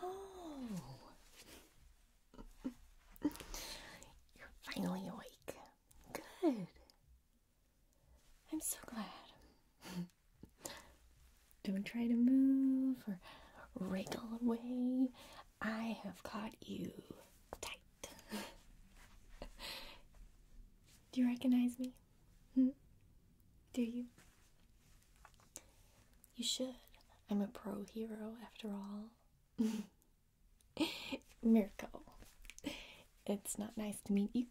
Oh, you're finally awake. Good. I'm so glad. Don't try to move or wriggle away. I have caught you tight. Do you recognize me? Hmm? Do you? You should. I'm a pro hero after all. Mirko, it's not nice to meet you,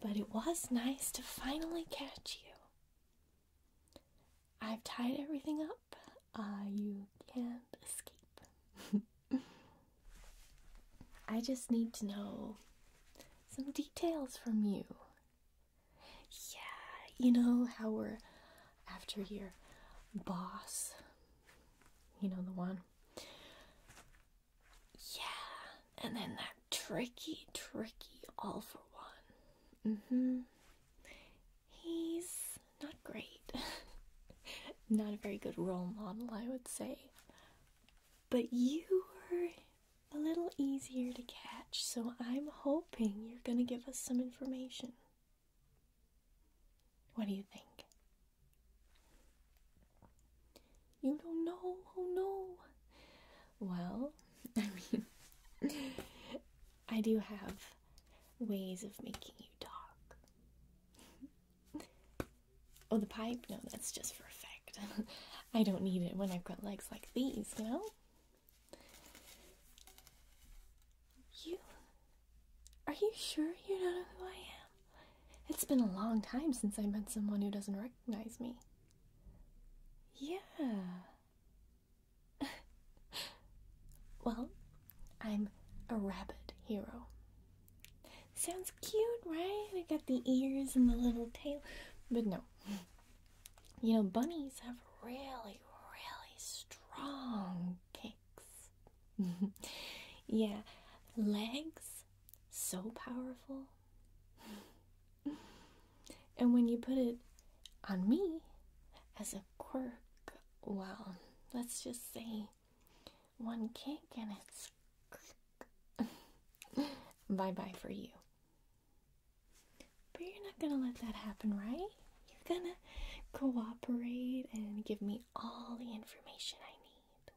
but it was nice to finally catch you. I've tied everything up. Uh, you can't escape. I just need to know some details from you. Yeah, you know how we're after your boss you know the one. Yeah, and then that tricky, tricky all for one. Mm hmm. He's not great. not a very good role model, I would say. But you were a little easier to catch, so I'm hoping you're going to give us some information. What do you think? You don't know? Oh no. Well, I mean, I do have ways of making you talk. oh, the pipe? No, that's just for effect. I don't need it when I've got legs like these, you know? You. Are you sure you don't know who I am? It's been a long time since I met someone who doesn't recognize me. Yeah. well, I'm a rabbit hero. Sounds cute, right? I got the ears and the little tail. But no. You know, bunnies have really, really strong kicks. yeah, legs, so powerful. and when you put it on me as a quirk, well, let's just say one kick and it's bye bye for you. But you're not gonna let that happen, right? You're gonna cooperate and give me all the information I need.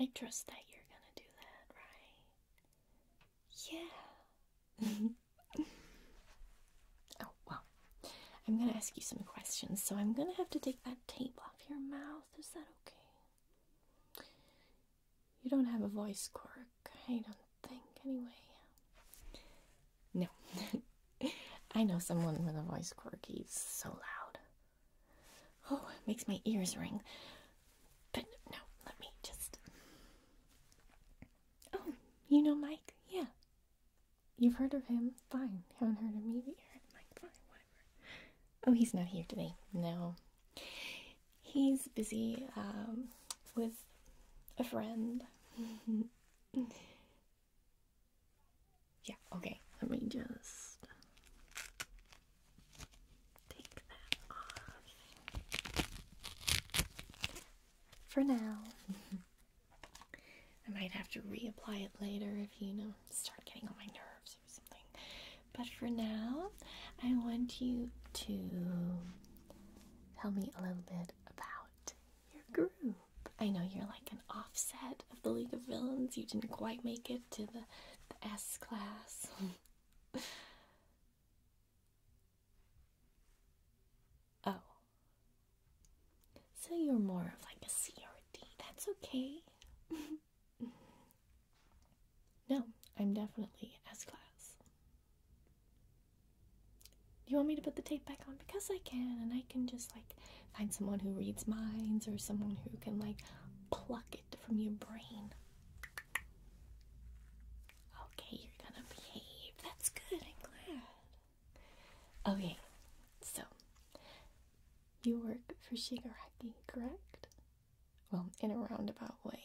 I trust that you're gonna do that, right? Yeah. oh, well, I'm gonna ask you some questions, so I'm gonna have to take that tape off your mouth. Is that okay? You don't have a voice quirk, I don't think, anyway. No. I know someone with a voice quirky, it's so loud. Oh, it makes my ears ring. But no, let me just. Oh, you know Mike? Yeah. You've heard of him? Fine. Haven't heard of me, yet. Mike. Fine, Oh, he's not here today. No. He's busy um, with a friend. yeah, okay. Let me just take that off for now. I might have to reapply it later if you know start getting on my nerves or something. But for now, I want you to tell me a little bit about your group. I know you're like an offset of the League of Villains. You didn't quite make it to the, S class. oh. So you're more of like a CRD. That's okay. no, I'm definitely S class. You want me to put the tape back on? Because I can, and I can just like find someone who reads minds or someone who can like pluck it from your brain. Okay, you're gonna behave. That's good, I'm glad. Okay, so you work for Shigaraki, correct? Well, in a roundabout way.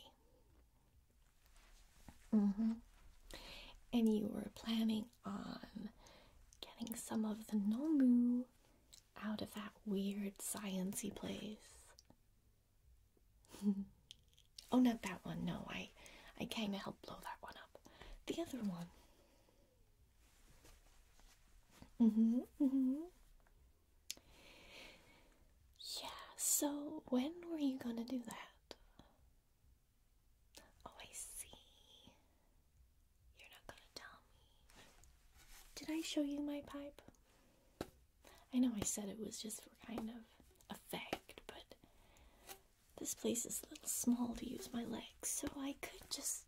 Mm-hmm. And you were planning on getting some of the Nomu out of that weird sciency place. oh, not that one. No, I, I kind of helped blow that one up. The other one. Mm-hmm. Mm-hmm. Yeah. So when were you gonna do that? Oh, I see. You're not gonna tell me. Did I show you my pipe? I know I said it was just for kind of effect, but this place is a little small to use my legs, so I could just.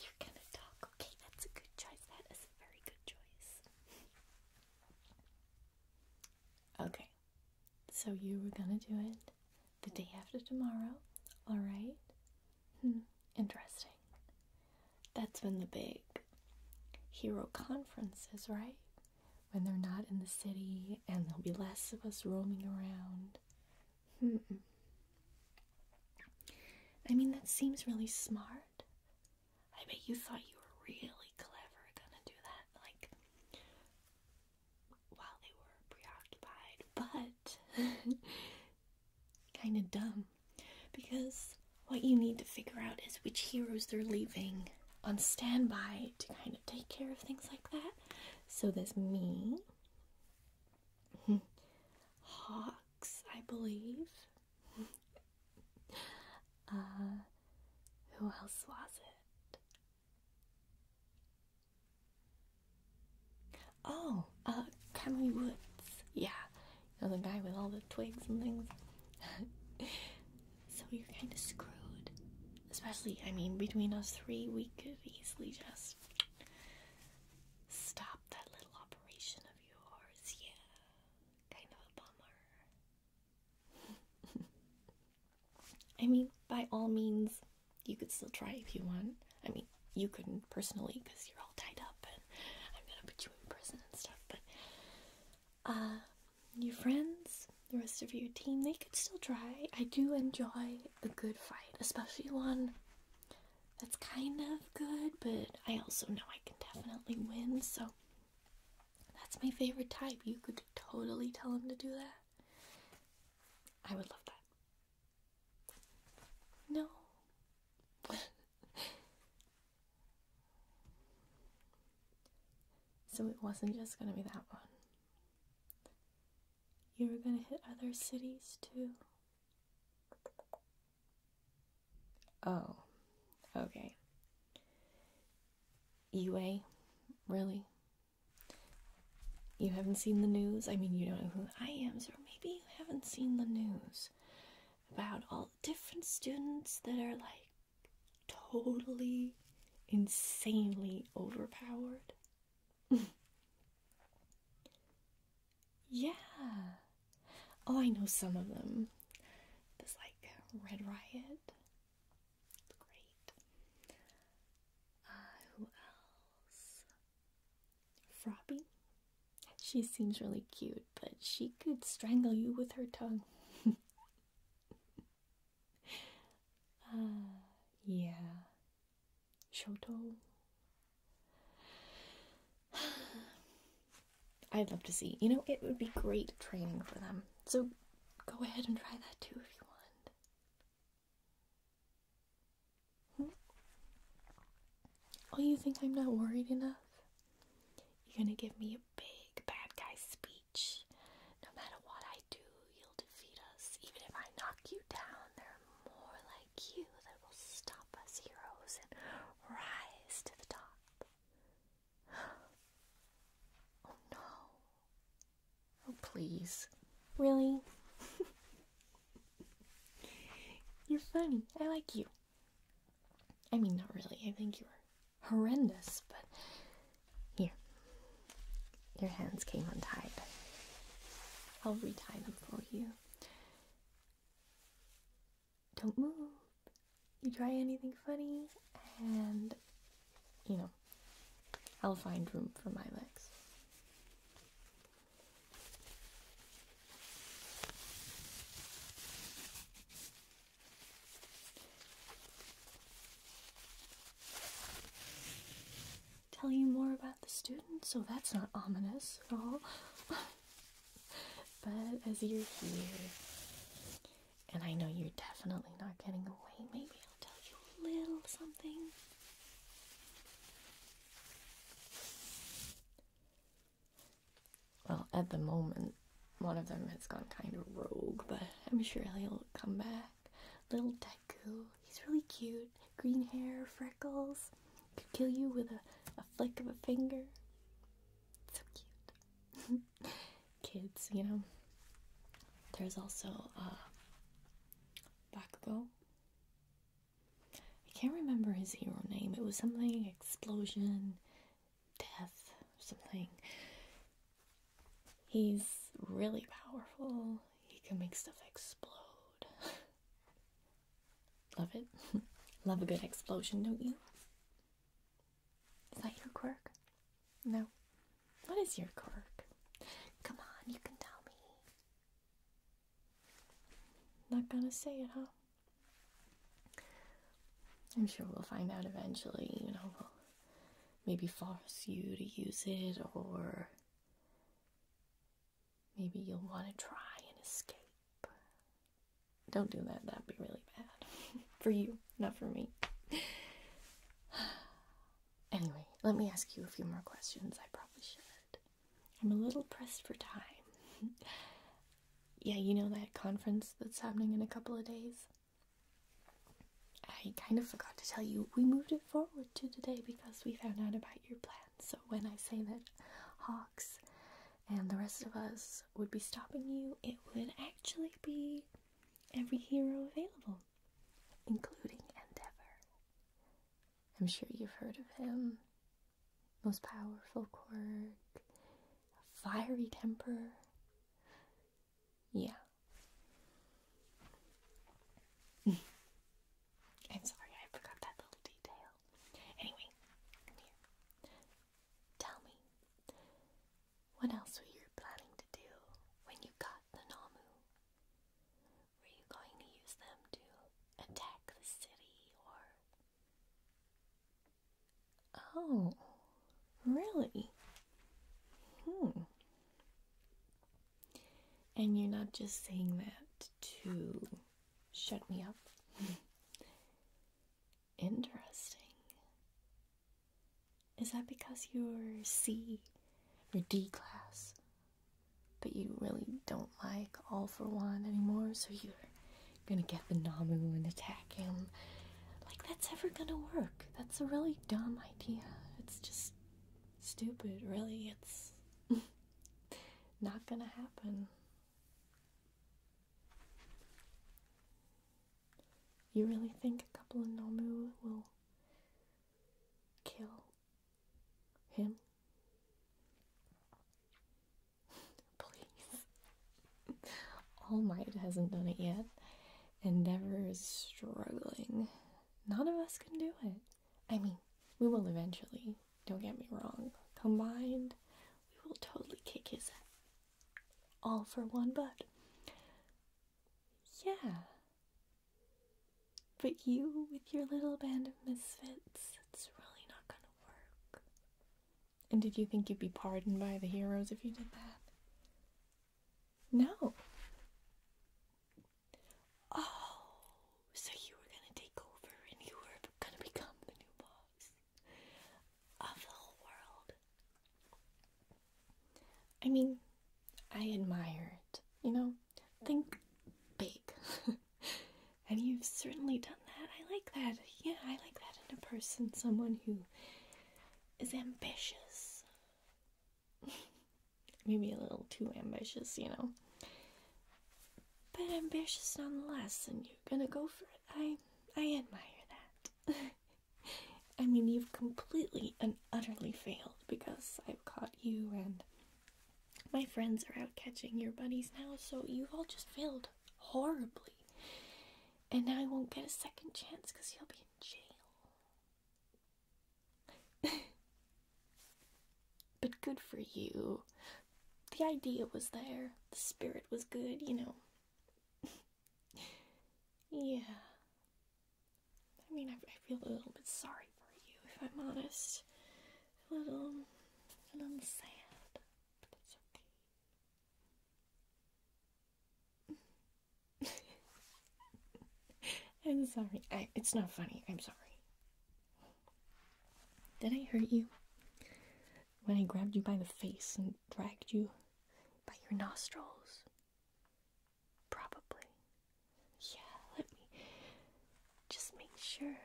You're gonna talk, okay? That's a good choice. That is a very good choice. Okay, so you were gonna do it the day after tomorrow, alright? Hmm, interesting. That's when the big hero conference is, right? When they're not in the city and there'll be less of us roaming around. Hmm. I mean, that seems really smart. I bet you thought you were really clever gonna do that. Like, while they were preoccupied, but kind of dumb. Because what you need to figure out is which heroes they're leaving on standby to kind of take care of things like that. So there's me, Hawks, I believe uh, who else was it? Oh, uh, Conway Woods. Yeah, you know, the guy with all the twigs and things. so you're kind of screwed. Especially, I mean, between us three, we could easily just stop that little operation of yours. Yeah, kind of a bummer. I mean, by all means, you could still try if you want. I mean, you couldn't personally because you're all tied up and I'm gonna put you in prison and stuff, but uh, your friends, the rest of your team, they could still try. I do enjoy a good fight, especially one that's kind of good, but I also know I can definitely win, so that's my favorite type. You could totally tell him to do that. I would love that. No. so it wasn't just gonna be that one. You were gonna hit other cities too. Oh, okay. Eway? Really? You haven't seen the news? I mean, you don't know who I am, so maybe you haven't seen the news about all the different students that are like totally, insanely overpowered. yeah, Oh, I know some of them. There's like Red Riot. It's great. Uh, who else? Froppy. She seems really cute, but she could strangle you with her tongue. Ah, yeah. Shoto. I'd love to see. You know, it would be great training for them. So go ahead and try that too if you want. Hmm? Oh, you think I'm not worried enough? You're gonna give me a big bad guy speech. No matter what I do, you'll defeat us. Even if I knock you down, there are more like you that will stop us heroes and rise to the top. Oh no. Oh, please. Really? You're funny. I like you. I mean, not really. I think you are horrendous, but here. Your hands came untied. I'll re-tie them for you don't move, you try anything funny, and you know, I'll find room for my legs. Tell you more about the student, so oh, that's not ominous at all. but as you're here, and I know you're definitely not getting away, maybe I'll tell you a little something. Well, at the moment, one of them has gone kind of rogue, but I'm sure he'll come back. Little Deku, he's really cute. Green hair, freckles, could kill you with a, a flick of a finger. So cute. Kids, you know. There's also uh, Bakugo. I can't remember his hero name. It was something explosion, death, something. He's really powerful. He can make stuff explode. Love it. Love a good explosion, don't you? Is that your quirk? No. What is your quirk? Come on, you can tell me. Not gonna say it, huh? I'm sure we'll find out eventually, you know. We'll maybe force you to use it, or maybe you'll want to try and escape. Don't do that. That'd be really bad. for you, not for me. anyway, let me ask you a few more questions. I probably should. I'm a little pressed for time. yeah, you know that conference that's happening in a couple of days? I kind of forgot to tell you, we moved it forward to today because we found out about your plans. So when I say that Hawks and the rest of us would be stopping you, it would actually be every hero available, including Endeavor. I'm sure you've heard of him. Most powerful quirk, fiery temper. Yeah. I'm sorry, I forgot that little detail. Anyway, Tell me, what else were you planning to do when you got the Namu? Were you going to use them to attack the city or. Oh, really? Hmm. And you're not just saying that to Shut me up. Interesting. Is that because you're C you're D class? But you really don't like all for one anymore, so you're gonna get the Namu and attack him. Like, that's ever gonna work. That's a really dumb idea. It's just stupid, really. It's not gonna happen. You really think a couple of Nomu will kill him? Please. All hasn't done it yet. Endeavor is struggling. None of us can do it. I mean, we will eventually, don't get me wrong, combined, we will totally kick his ass. All for one butt. Yeah. But you with your little band of misfits, it's really not gonna work. And did you think you'd be pardoned by the heroes if you did that? No. Oh, so you were gonna take over and you were gonna become the new boss of the whole world. I mean, I admire it. You know, think big. and you've certainly done that. I like that. Yeah, I like that in a person, someone who is ambitious. Maybe a little too ambitious, you know but ambitious nonetheless, and you're gonna go for it. I I admire that. I mean, you've completely and utterly failed because I've caught you, and my friends are out catching your buddies now, so you've all just failed horribly. And now I won't get a second chance because you'll be in jail. But good for you. The idea was there, the spirit was good, you know. yeah. I mean, I, feel a little bit sorry for you, if I'm honest. A little, a little sad, but it's okay. I'm sorry. it's not funny. I'm sorry. Did I hurt you? When I grabbed you by the face and dragged you by your nostrils? Probably. Yeah, let me just make sure.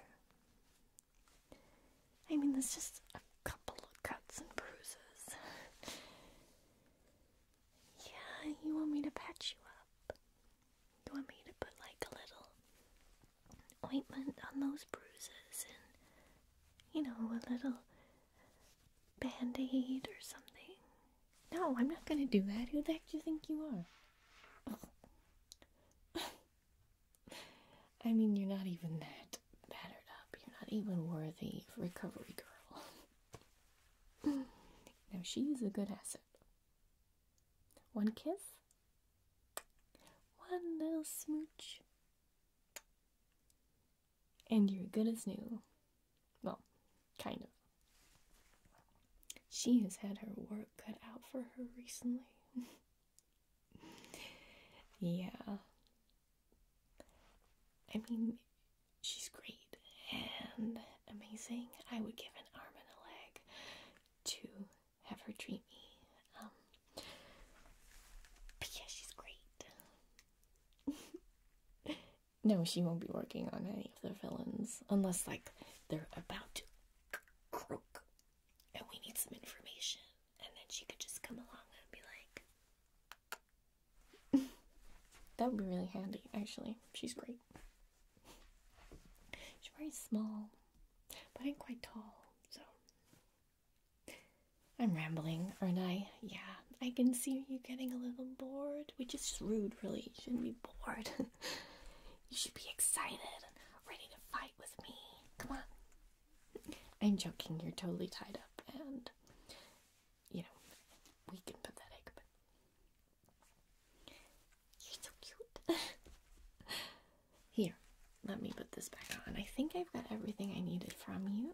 I mean, there's just a couple of cuts and bruises. yeah, you want me to patch you up? You want me to put like a little ointment on those bruises and, you know, a little band aid or something. No, I'm not gonna do that. Who the heck do you think you are? I mean, you're not even that battered up. You're not even worthy of recovery girl. now, she's a good asset. One kiss? One little smooch. And you're good as new. Well, kind of. She has had her work cut out for her recently. yeah. I mean, she's great and amazing. I would give an arm and a leg to have her treat me. Um, but she's great. no, she won't be working on any of the villains unless, like, they're about to croak and we need some information. And then she could just come along and be like, that would be really handy, actually. She's great. She's very small, but I'm quite tall, so. I'm rambling, aren't I? Yeah, I can see you getting a little bored, which is rude, really. You shouldn't be bored. you should be excited and ready to fight with me. Come on. I'm joking, you're totally tied up, and you know, weak and pathetic, but you're so cute. Here, let me put this back on. I think I've got everything I needed from you.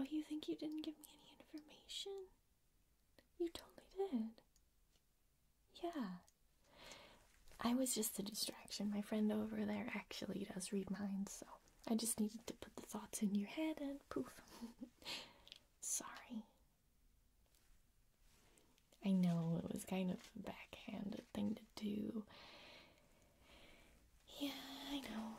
Oh, you think you didn't give me any information? You totally did. Yeah. I was just a distraction. My friend over there actually does read minds, so I just needed to put the thoughts in your head and poof. Sorry. I know it was kind of a backhanded thing to do. Yeah, I know.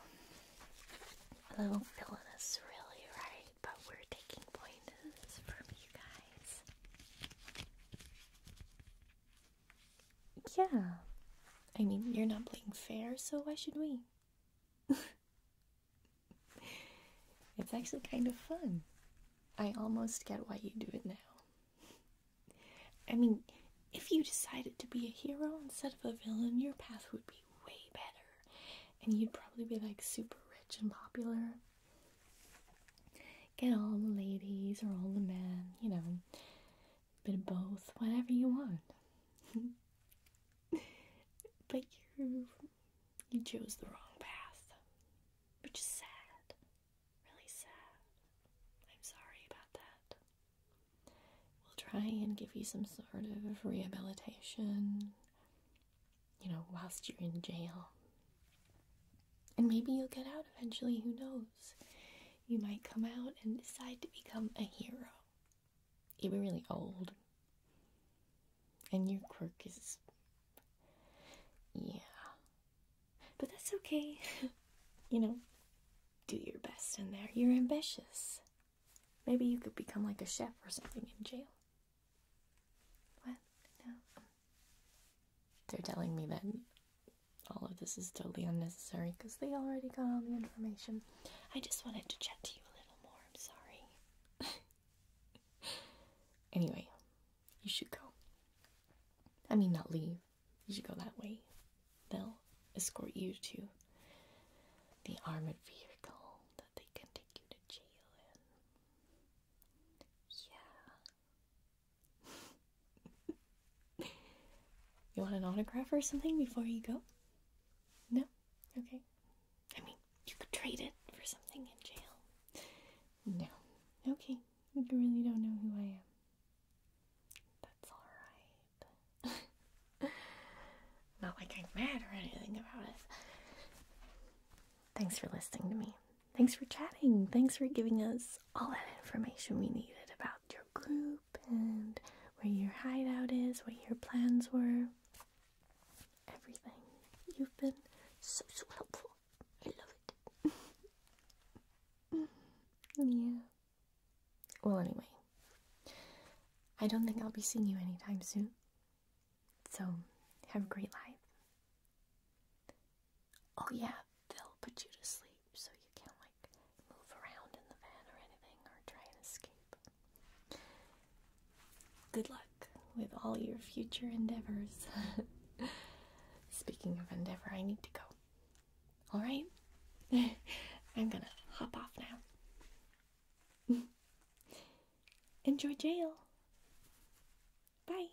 A little villainous, really, right? But we're taking pointers from you guys. Yeah. I mean, you're not playing fair, so why should we? it's actually kind of fun. I almost get why you do it now. I mean, if you decided to be a hero instead of a villain, your path would be way better. And you'd probably be like super rich and popular. Get all the ladies or all the men, you know, bit of both, whatever you want. but you're you chose the wrong path, which is sad, really sad. I'm sorry about that. We'll try and give you some sort of rehabilitation, you know, whilst you're in jail. And maybe you'll get out eventually, who knows? You might come out and decide to become a hero you'd be really old. And your quirk is. Yeah. But that's okay. you know, do your best in there. You're ambitious. Maybe you could become like a chef or something in jail. What? No. They're telling me that all of this is totally unnecessary because they already got all the information. I just wanted to chat to you a little more. I'm sorry. anyway, you should go. I mean, not leave. You should go that way. They'll escort you to the armored vehicle that they can take you to jail in. Yeah. you want an autograph or something before you go? No? Okay. I mean, you could trade it for something in jail. No. Okay, you really don't know who I am. That's alright. Not like I'm mad or anything about it. Thanks for listening to me. Thanks for chatting. Thanks for giving us all that information we needed about your group and where your hideout is, what your plans were everything. You've been so, so helpful. I love it. yeah. Well, anyway, I don't think I'll be seeing you anytime soon. So, have a great life. Oh, yeah, they'll put you to sleep so you can't, like, move around in the van or anything or try and escape. Good luck with all your future endeavors. Speaking of endeavor, I need to go. Alright? I'm gonna hop off now. Enjoy jail. Bye.